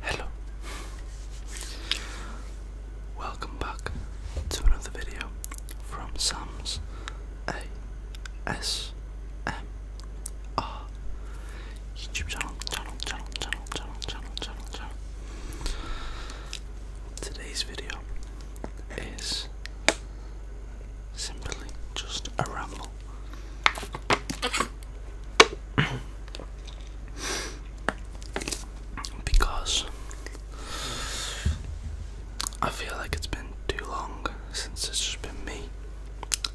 Hello. Welcome back to another video from Sam's ASMR YouTube channel, channel. Today's video is simply just a ramble. because I feel like it's been too long since it's just been me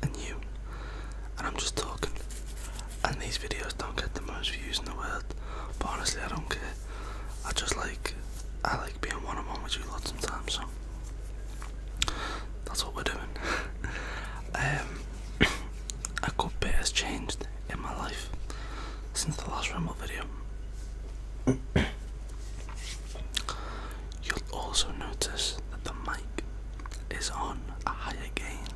and you, and I'm just talking. And these videos don't get the most views in the world, but honestly, I don't care. I just like I like being one on one with you a lot sometimes, so that's what we're doing. um, a good bit has changed in my life since the last ramble video. You'll also notice that the mic is on a higher gain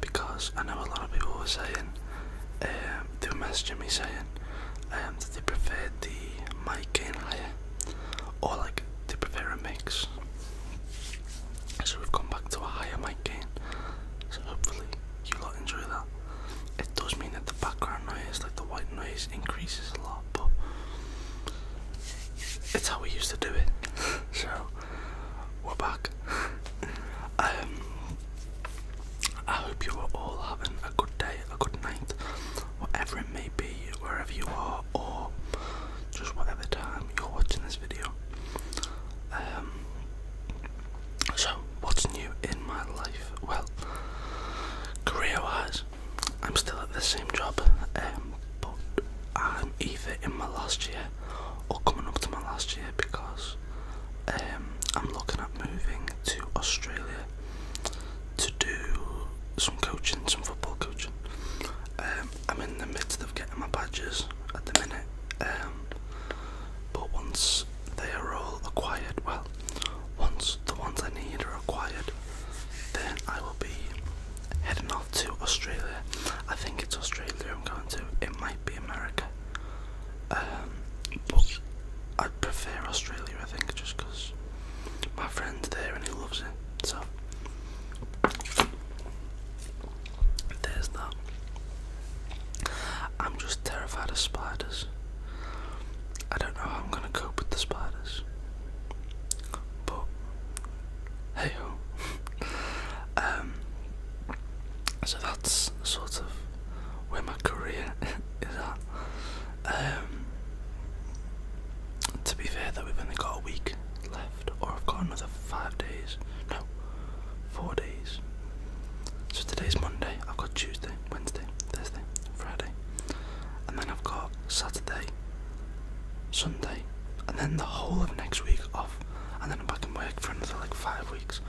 because I know a lot of people were saying um, they were messaging me saying um, that they prefer the mic gain higher or like they prefer a mix. So we've gone back to a higher mic gain. So hopefully you will enjoy that. It does mean that the background noise, like the white noise, increases a lot, but it's how we used to do it. so we're back. Um, I hope you are all having a good day, a good night, whatever it may be, wherever you are, or just whatever time you're watching this video. Um, so, what's new in my life? Well, career wise, I'm still at the same job, um, but I'm either in my last year or coming up to my last year because um, I'm looking at moving to Australia to do some coaching, some football coaching. Um, I'm in the midst of getting my badges at the minute, um, but once they are all acquired, well, once the ones I need are acquired, then I will be heading off to Australia. I think it's Australia I'm going to. It might be America. Um, but I'd prefer Australia, I think, just because my friend's there and he loves it. So there's that. I'm just terrified of spiders. I don't know how I'm gonna cope with the spiders. But hey ho. Um, so that's sort of where my career is at. Um, to be fair, that we've only got a week left, or I've got another five days. No, four days. So today's Monday. I've got Tuesday, Wednesday, Thursday, Friday, and then I've got Saturday, Sunday, and then the whole of next week off and then I'm back in work for another like five weeks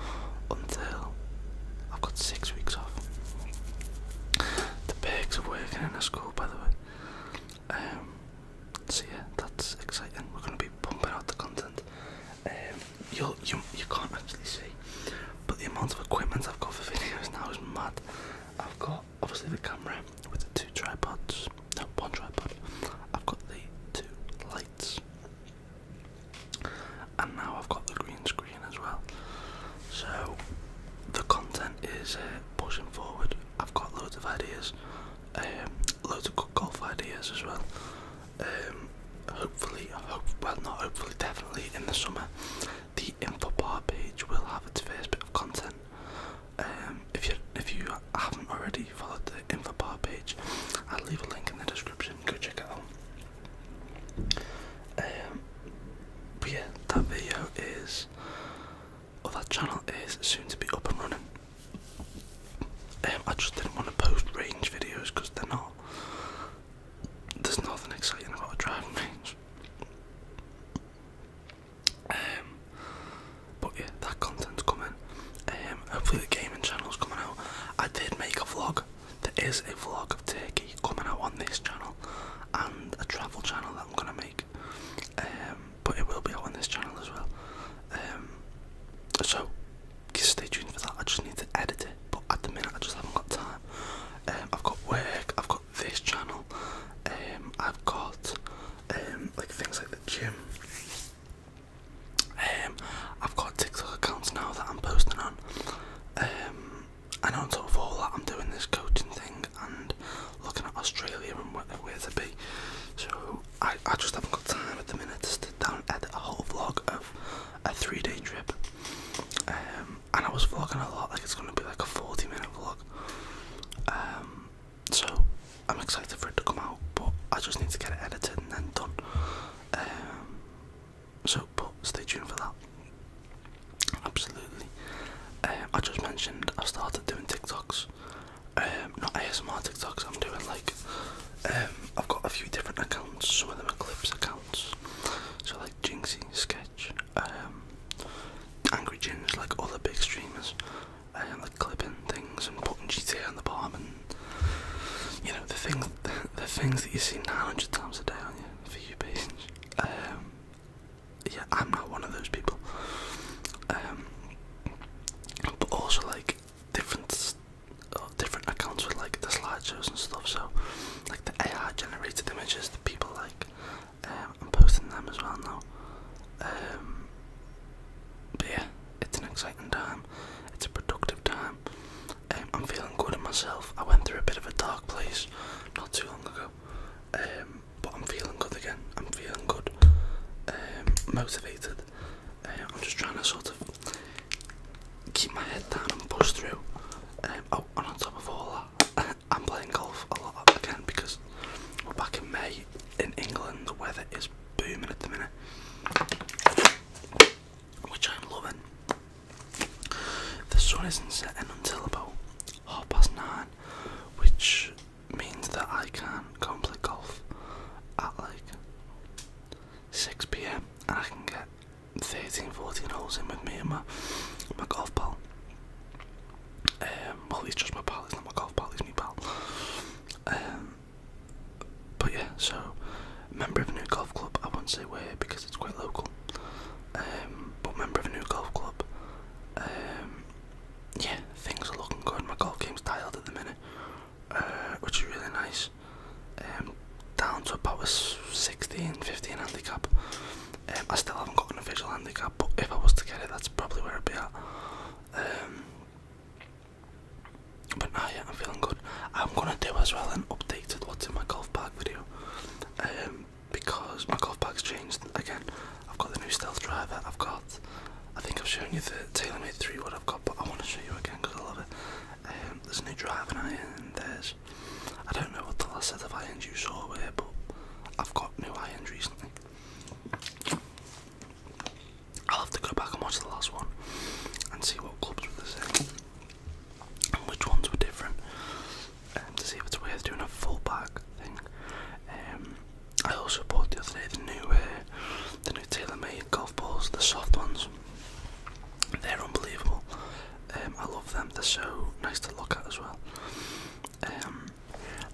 until I've got six weeks off. The perks are working in a school, by the way. Um, so yeah, that's exciting. We're gonna be pumping out the content. Um, you you you can't actually see, but the amount of equipment I've got for videos now is mad. I've got obviously the camera with the two tripods, no one tripod. I've got the two lights and now I've got the green screen as well. So the content is uh, pushing forward. I've got loads of ideas, um, loads of good golf ideas as well. Um, hopefully, well, not hopefully, definitely in the summer, the info bar page will have its first bit of content. Um, if you if you haven't already followed the info bar page, I'll leave a link in the description. Go check it out. Um, but yeah, that video is, or that channel is soon to be up and running. Um, I just didn't want to post range videos because they're not. There's nothing exciting about driving range. Um, but yeah, that content's coming. Um, hopefully the gaming channel's coming out. I did make a vlog. There is a vlog of Turkey coming out on this channel and a travel channel that I'm gonna make. Um, but it will be out on this channel as well. Um, so stay tuned for that. I just need to edit it, but at the minute I just haven't got time. Um, I've got work. I've got this channel. I've got like things like the gym. Um, I've got TikTok accounts now that I'm posting on, um, and on top of all that, I'm doing this coaching thing and looking at Australia and where, where to be. So I, I just haven't got time at the minute to sit down and edit a whole vlog of a three-day trip. Um, and I was vlogging a lot, like it's going to be like a 40-minute vlog. Um, so I'm excited for it to come out, but I just need to get it edited and then done. Um, so, but stay tuned for that. Absolutely. Um, I just mentioned I started doing TikToks. Um, not ASMR TikToks. I'm doing like um, I've got a few different accounts. Some of them are clips accounts. So like Jinxie, Sketch, Angry Jinx, like other big streamers and uh, clipping things and putting GTA on the bottom and you know the things the, things that you see 900 times a day for you page. Um, yeah, I'm not one of those people. Um, but also like different uh, different accounts with like the slideshows and stuff. So like the AI generated images that people like um, I'm posting them as well now. Um, but yeah, it's an exciting time. It's a productive time. Um, I'm feeling good in myself. I went through a bit of a dark place not too long ago, but I'm feeling good again. I'm feeling good, motivated. I'm just trying to sort of keep my head down and push through. Um, oh, and on top of all that, I'm playing golf a lot again because we're back in May in England the weather is booming at the minute, which I'm loving. The sun isn't setting until about half past nine, which means that I can go and play golf at like 6 pm and I can get 13 14 holes in with me and my, my golf ball. Um, well, he's just my pal, he's not my golf pal, he's my pal. Um, but yeah, so, member of a new golf club, I won't say where because it's quite local. Um, but member of a new golf club. Um, yeah, things are looking good. My golf game's dialed at the minute, uh, which is really nice. down to about a 16, 15 handicap, um, I still haven't got an official handicap, but if I was to get it, that's probably where I'd be at. Um, but now, yeah, I'm feeling good. I'm gonna do as well an updated what's in my golf bag video um, because my golf bag's changed again. I've got the new stealth driver. I've got, I think I've shown you the TaylorMade 3 what I've got, but I want to show you again because I love it. there's a new driving iron. And there's, I don't know what the last set of irons you saw were, but I've got new irons recently. I'll have to go back and watch the last one and see what clubs were the same and which ones were different um, to see if it's worth doing a full back thing. Um, I also bought the other day the new, uh, the new TaylorMade golf balls, the soft ones. They're unbelievable. Um, I love them. They're so nice to look at as well. Um,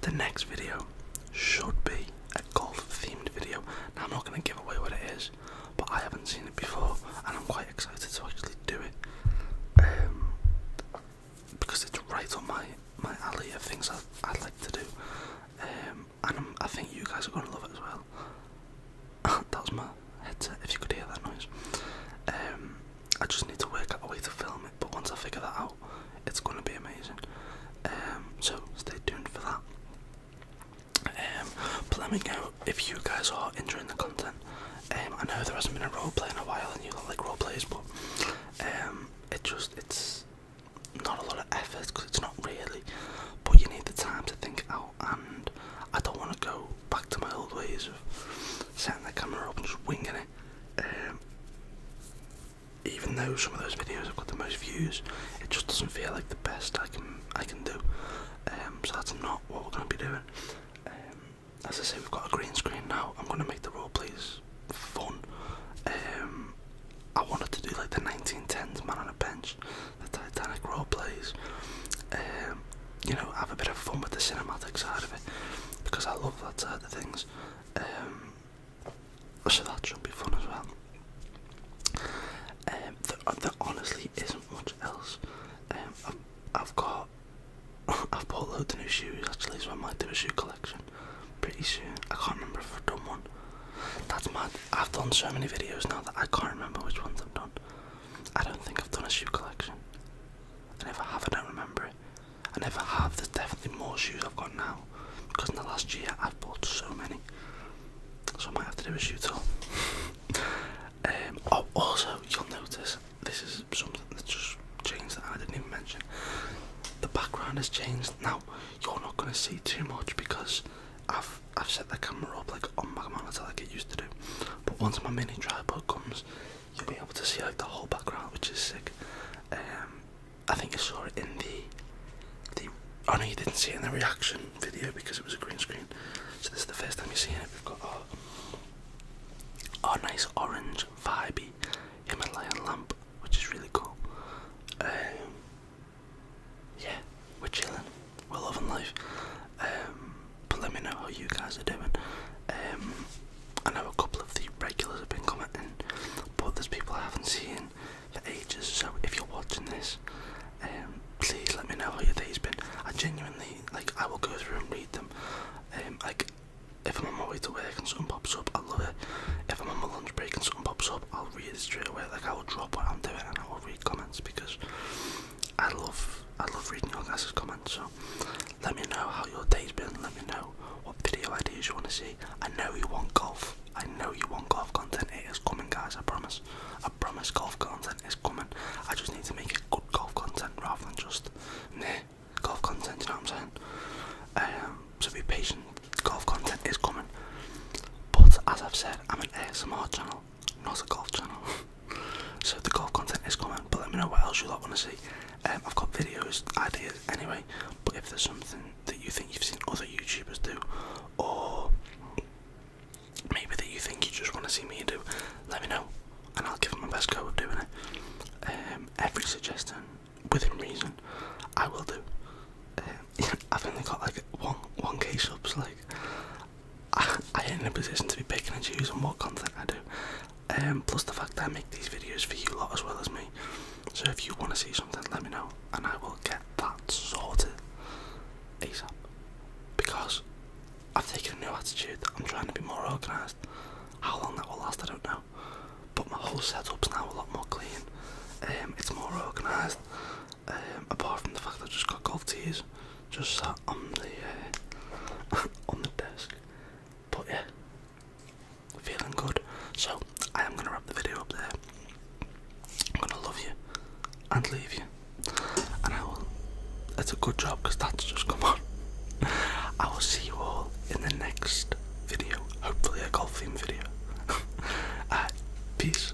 the next video should be a golf themed video. I'm not going to give away what it is, but I haven't seen it before and I'm quite excited to actually do it um, because it's right on my, my alley of things I, I'd like to do. Um, and i think you guys are going to love it as well. that was my headset, if you could hear that noise. Um, I just need to work out a way to film it, but once I figure that out, it's going to be amazing. Um, so stay tuned for that. Um, but let me know if you guys are enjoying the content. Um, I know there hasn't been a roleplay in a while, and you don't like roleplays, but um, it just it's not a lot of effort because it's not really. But you need the time to think out, and I don't want to go back to my old ways of setting the camera up and just winging it um, even though some of those videos have got the most views, it just doesn't feel like the best I can I can do. Um, so that's not what we're going to be doing. Um, as I say, we've got a green screen now. I'm going to make the role plays fun. I wanted to do like the 1910s man on a bench, the Titanic role plays you know, have a bit of fun with the cinematic side of it because I love that side of things. Um, so that should be fun as well. Um, uh, there, honestly isn't much else. Um, I've, I've got, I've bought loads of new shoes actually, so I might do a shoe collection pretty soon. I can't remember if I've done one. That's mad. I've done so many videos now that I can't remember which ones I've done. I don't think I've done a shoe collection. I never have, I don't remember it. I never have, there's definitely more shoes I've got now because in the last year I've bought so many. So I might have to do a shoe tour. um, oh, also, you'll notice this is something that just changed that I didn't even mention. The background has changed. Now, you're not going to see too much because I've I've set the camera up like on my monitor like it used to do. But once my mini tripod comes, you'll be able to see like the whole background, which is sick. Um, I think you saw it in the the. Oh no, you didn't see it in the reaction video because it was a green screen. So this is the first time you're seeing it. We've got our, nice orange vibey Himalayan lamp, which is really cool. Um, yeah, we're chilling. We're loving life. Um, but let me know how you guys are doing. Um, I know a couple of the regulars have been commenting, but there's people I haven't seen for ages. So if you're watching this, um, please let me know how your day's been. I genuinely like. I will go through and read them. Um, like if I'm on my way to work and something pops up, I love it. If I'm on my lunch break and something pops up, I'll read it straight away. Like I will drop what I'm doing and I will read comments because I love I love reading your guys' comments. So let me know how your day's been. Let me know what video ideas you want to see. I know you want golf. I know you want golf content. It is coming, guys. I promise. I promise golf content is coming. I just need to make it good golf content rather than just yeah, golf content. You know what I'm saying? Um, so be patient. Golf content is coming. But as I've said, I'm an ASMR channel not a golf channel. so the golf content is coming, but let me know what else you like want to see. Um, I've got videos, ideas anyway, but if there's something that you think you've seen other YouTubers do, or maybe that you think you just want to see me do, let me know and I'll give it my best go of doing it. Um, every suggestion, within reason, I will do. Um, I've only got like one, 1k subs, like, I, I ain't in a position to be picking and choosing what content I do. Um, plus the fact that I make these videos for you lot as well as me. So if you want to see something, let me know, and I will get that sorted ASAP. Because I've taken a new attitude. I'm trying to be more organised. How long that will last, I don't know. But my whole setup's now a lot more clean. Um, it's more organised. Um, apart from the fact that I just got golf tears just sat on the uh, on the desk. But yeah, feeling good. So I am gonna wrap the video up there. I'm gonna love you and leave you, and I will. It's a good job because that's just come on. I will see you all in the next video. Hopefully a golf theme video. uh, peace.